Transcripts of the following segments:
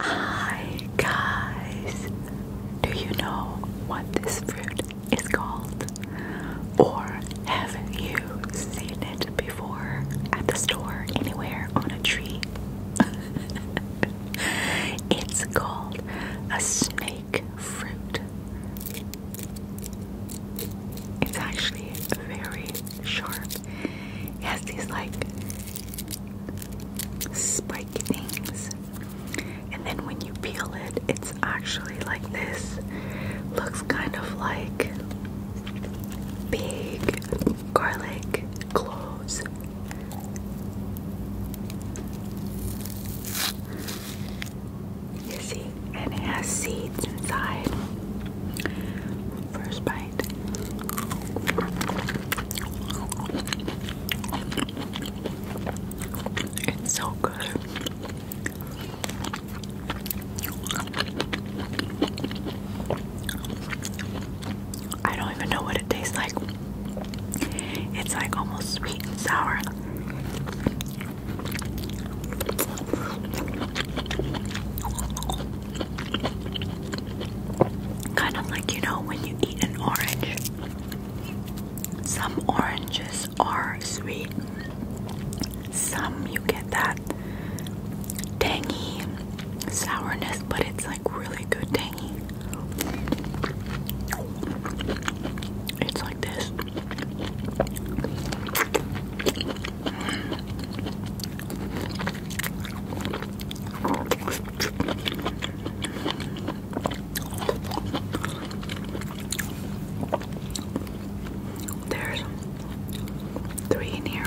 Hi guys! Do you know what this fruit is called? Or have you seen it before at the store, anywhere, on a tree? it's called a snake fruit. It's actually very sharp. It has these like spiky things. And then when you peel it, it's actually like this. Looks kind of like big garlic cloves. You see? and it has seeds inside. First bite. It's so good. I don't even know what it tastes like. It's like almost sweet and sour. Kind of like you know when you eat an orange. Some oranges are sweet. Some you get that tangy sourness, but it's like really good tangy. It's like this. There's three in here.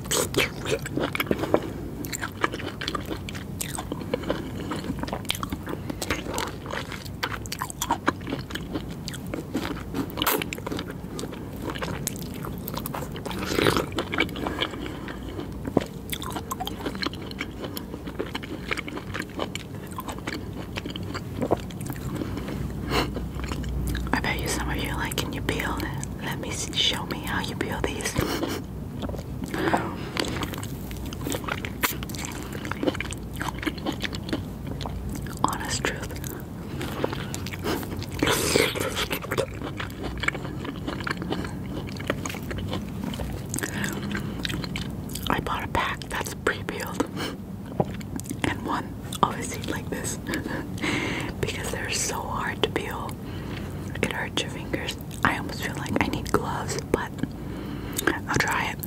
I bet you some of you like liking you peel it. Let me show me how you peel these. Honest truth. I bought a pack that's pre peeled and one Always obviously like this because they're so hard to peel. It hurts your fingers. I almost feel like I need gloves, but I'll try it.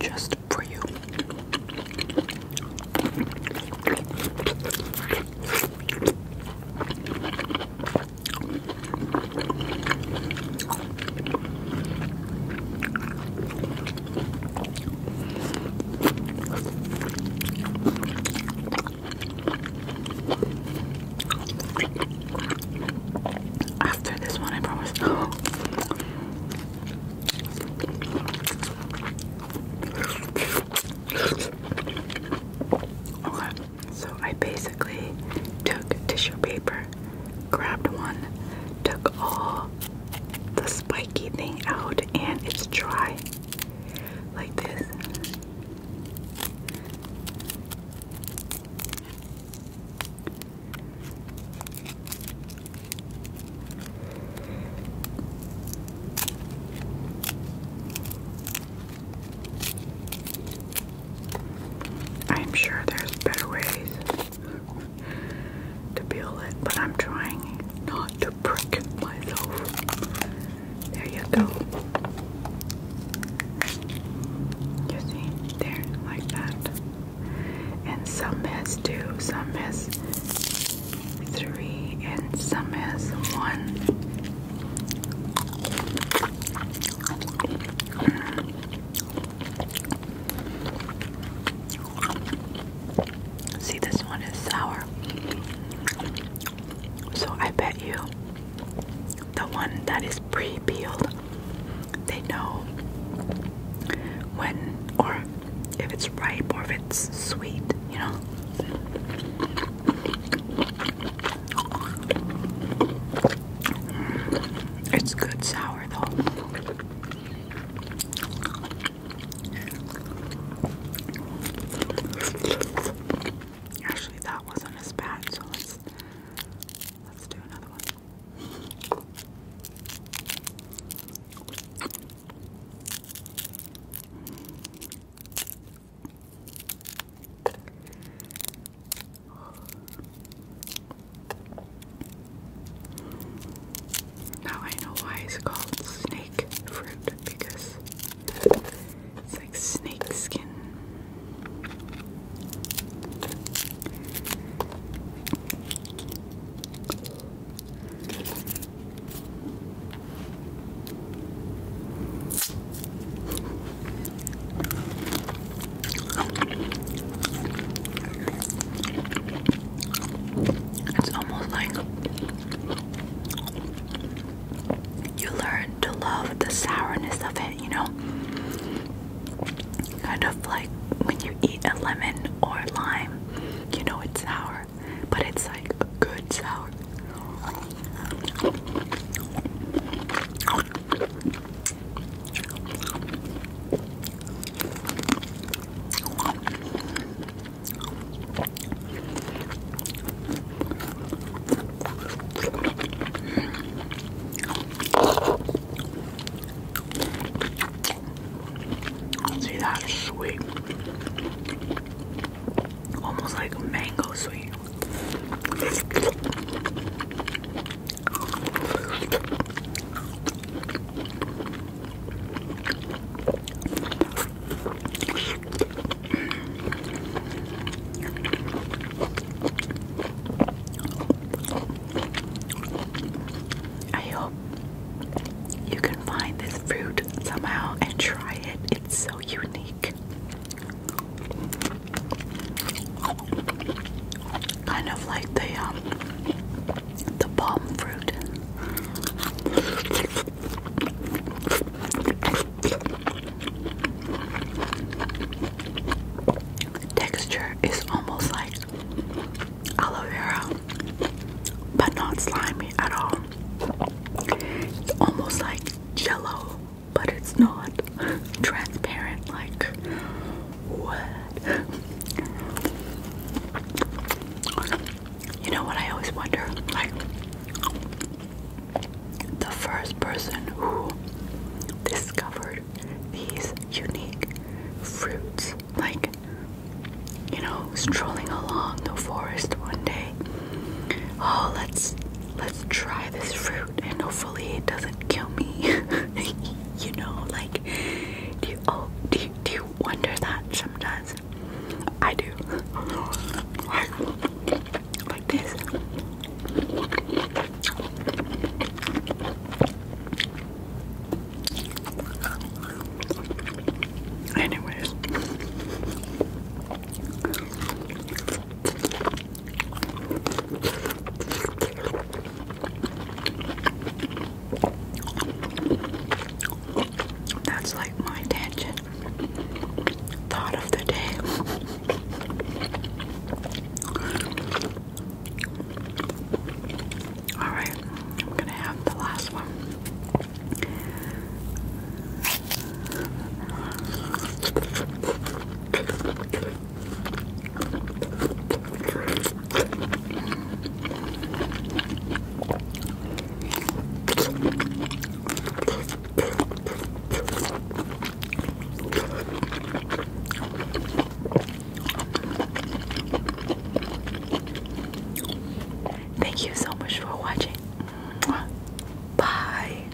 Just for you. After this one, I promise. okay, so I basically took tissue paper grabbed one, took all the spiky thing out, and it's dry. Like this. I'm sure there's better ways to peel it, but I'm trying not to prick myself. There you go. You see, there, like that. And some has two, some has three, and some has one. See, this one is sour. So I bet you the one that is pre peeled, they know when or if it's ripe or if it's sweet, you know. Mm, it's good sour though. Actually, that wasn't as bad, so let's let's do another one. Now I know why it's called snake fruit because it's like snake skin. It's almost like you learn to love the sourness of it, you know? Kind of like when you eat a lemon or lime, you know it's sour, but it's like a good sour. See, sweet. Almost like mango sweet. I hope you can find this fruit somehow and try it. It's so unique kind of like the um, the palm fruit. texture is almost like aloe vera, but not slimy at all. It's almost like jello, but it's not transparent like what? You know what I always wonder? Like, the first person who discovered these unique fruits, like, you know, strolling along the forest one day. Oh, let's let's try this fruit and hopefully it doesn't kill me. you know, like do oh do do you wonder that sometimes? I do. like this. Anyways. That's like my tangent thought of the day. Alright, I'm gonna have the last one. Thank you so much for watching. Bye.